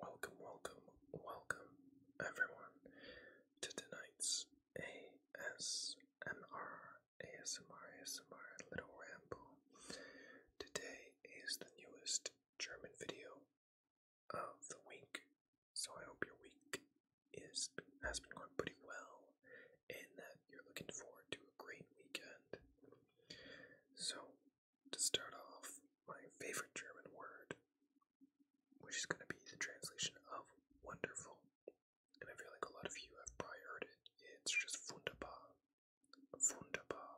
Welcome, welcome, welcome, everyone, to tonight's ASMR, ASMR, ASMR Little Ramble. Today is the newest German video of the week, so I hope your week is has been going pretty well and that you're looking forward to a great weekend. So, to start off, my favorite German word, which is going to be the translation of wonderful. And I feel like a lot of you have probably heard it. It's just wunderbar. Wunderbar.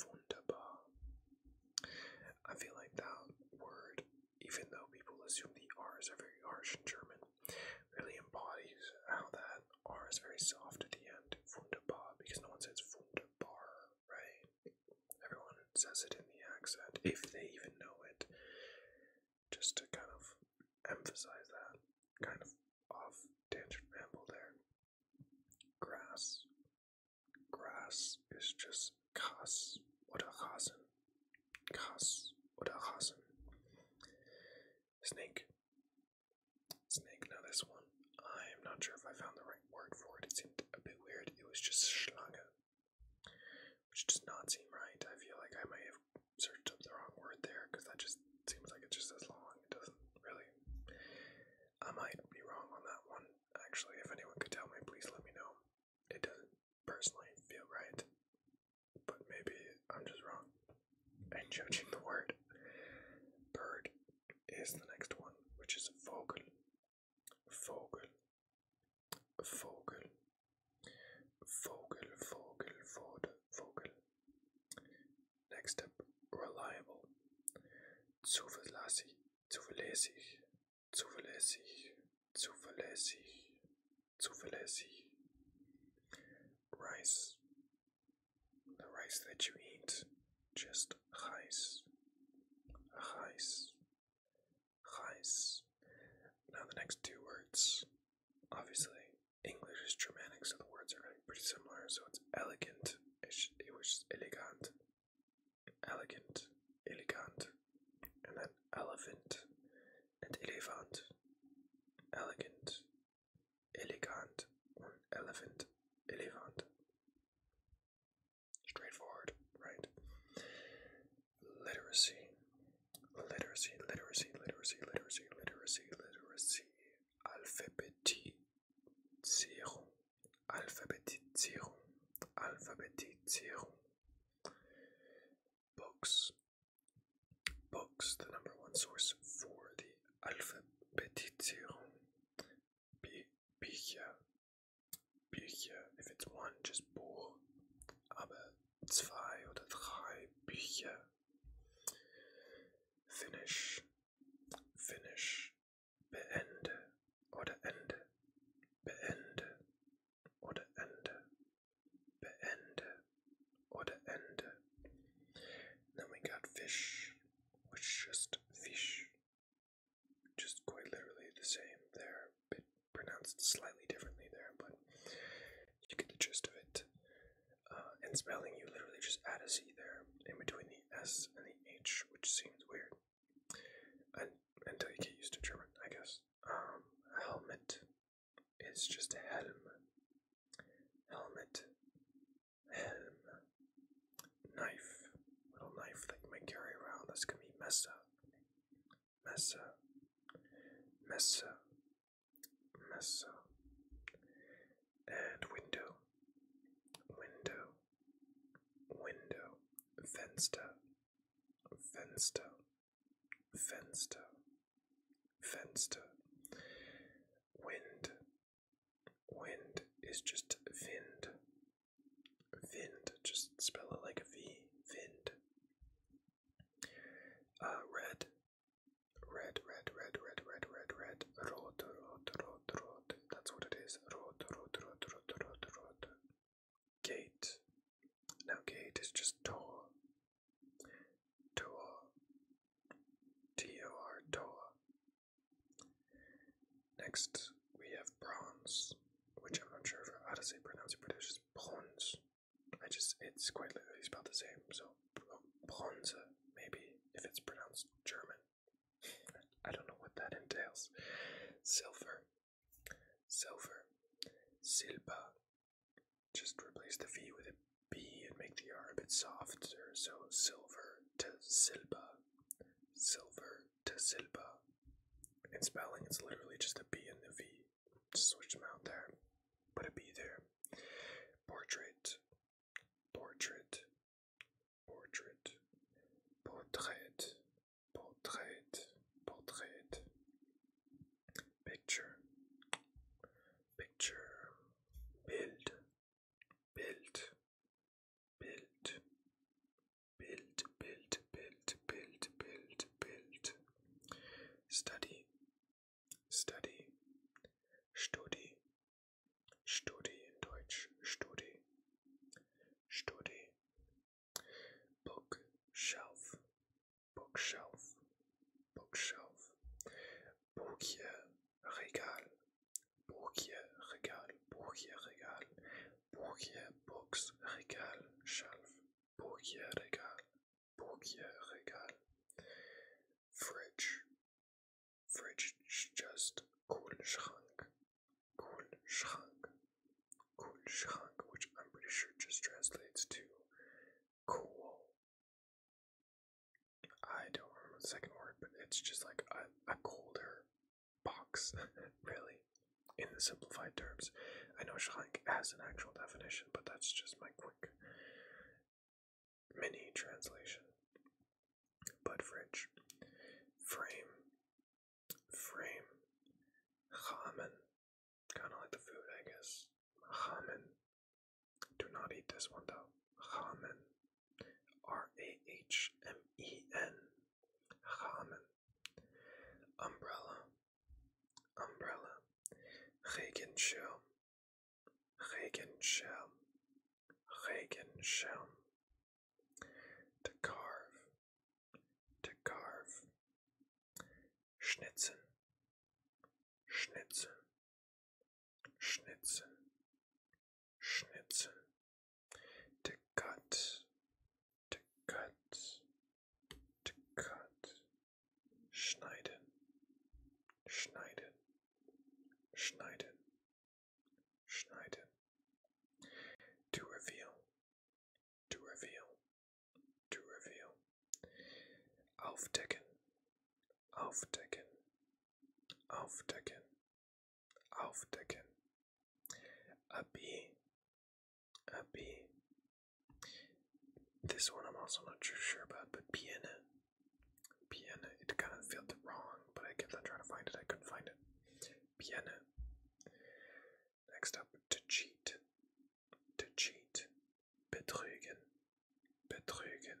Wunderbar. I feel like that word, even though people assume the R's are very harsh in German, really embodies how that R is very soft at the end. Wunderbar, because no one says wunderbar, right? Everyone says it in the accent, if they even know it. Just to kind of emphasize that. Kind of off tangent ramble there. Grass. Grass is just kas oder Rasen. Kas oder Rasen. Snake. Snake, now this one. I am not sure if I found the right word for it. It seemed a bit weird. It was just Schlange, which does not seem right. I feel like I might have searched up the wrong word there because that just seems like it's just as long. It doesn't really. I might be wrong on that one. Actually, if anyone could tell me, please let me know. It doesn't personally feel right, but maybe I'm just wrong and judging the word. Bird is the next one, which is vogel. Vogel. Vogel. Vogel, vogel, vode, vogel. Next up, reliable. Zuverlässig, zuverlässig, zuverlässig, zuverlässig, zuverlässig. Rice, the rice that you eat, just rice, rice, rice. Now the next two words, obviously English is Germanic, so the words are pretty similar. So it's elegant, it was elegant, elegant, elegant, and then elephant and elephant, elegant, elegant elephant, elephant. Straightforward, right? Literacy, literacy, literacy, literacy, literacy, literacy, literacy, Alphabetisierung, Alphabetisierung, Alphabetisierung. Books, books, the number one source for the Alphabetisierung Bücher. Bücher, if it's one, just Buch, aber zwei oder drei Bücher. Finish, finish, beende oder ende, beende oder ende. Beende oder Ende. Then we got fish, which just fish. Just quite literally the same there, but pronounced slightly differently there, but you get the gist of it. Uh, and spelling, you literally just add a C there in between the S and the H, which seems weird. until you get used to German, I guess. Um, helmet, it's just helm. Helmet. Helm. Knife. Little knife that you carry around. That's gonna be Mesa. Mesa. Mesa. Mesa. And window. Window. Window. Fenster. Fenster. Fenster, Fenster. Wind, wind is just vind. Vind, just spell it like a V. Vind. Uh, red, red, red, red, red, red, red, red. Rot, rot, rot, rot. That's what it is. Rot, rot, rot, rot, rot, rot. Gate. Now gate is just Toa. Toa. T-O-R, Toa. Next, we have bronze, which I'm not sure if, how to say pronounce it, but it's just bronze. I just, it's quite literally spelled the same, so oh, bronze, maybe, if it's pronounced German. I don't know what that entails. Silver. Silver. Silba. Just replace the V with a B and make the R a bit softer. So silver to silba. Silver to silba. In spelling, it's literally just the b and the V. Just switch them out there. Put a B there. Portrait. Portrait. Portrait. Portrait. Portrait, Portrait, Picture, Picture, Bild, Bild, Bild, Bild, Bild, Bild, Bild, Bild, Bild, Study, Study, Studi, Studi in Deutsch, Studi, Studi, Bookshelf, bookshelf, bookshelf. Bourgier, régal, bourgier, régal, bourgier, régal. Bourgier, books, régal, shelf, bourgier, régal, bourgier, régal. Fridge, fridge, just cool schrank, Kühlschrank, Kühlschrank, which I'm pretty sure just translates to cool. I don't remember the second word, but it's just like a, colder box, really, in the simplified terms. I know Schrank has an actual definition, but that's just my quick mini translation. But fridge, frame, frame. Ramen. Kind of like the food, I guess. Ramen. Do not eat this one though. Ramen. R A H M E N. Ramen. Umbrella. Umbrella. Regenschirm. Regenschirm. Regenschirm. To carve, to carve. Schnitzen, schnitzen, schnitzen, schnitzen. To cut, to cut, to cut. Schneiden, schneiden, schneiden, Schneiden. To reveal. To reveal. To reveal. Aufdecken. Aufdecken. Aufdecken. Aufdecken. A B. A B. This one I'm also not too sure about, but piano. Piano. It kind of felt wrong, but I kept on trying to find it. I couldn't find it. Piano. Next up, to cheat. To cheat. Betrügen. Betrügen.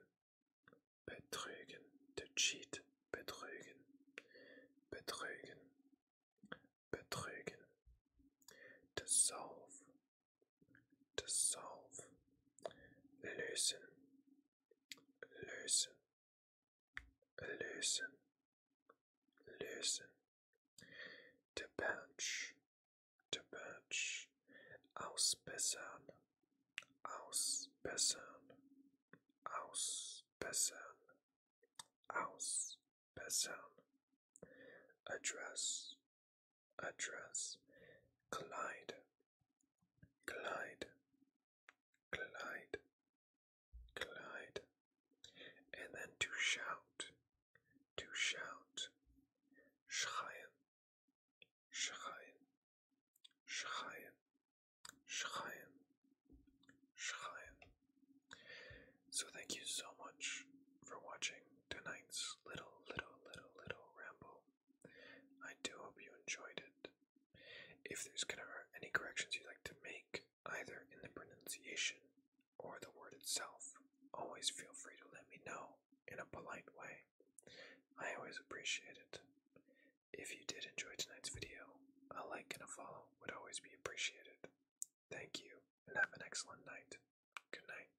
Betrügen. To cheat. Betrügen. Betrügen. Betrügen. To solve. To solve. Lösen loosen, loosen, loosen. The bench, To punch, to punch. Ausbessern, ausbessern, ausbessern, ausbessern. Address, address. Collide, glide, glide, glide, and then to shout, to shout, schreien, schreien, schreien, schreien, schreien. So thank you so much for watching tonight's little, little, little, little ramble. I do hope you enjoyed it. If there's any corrections you'd like to make, either in the pronunciation or the word itself, always feel free to let me know in a polite way. I always appreciate it. If you did enjoy tonight's video, a like and a follow would always be appreciated. Thank you, and have an excellent night. Good night.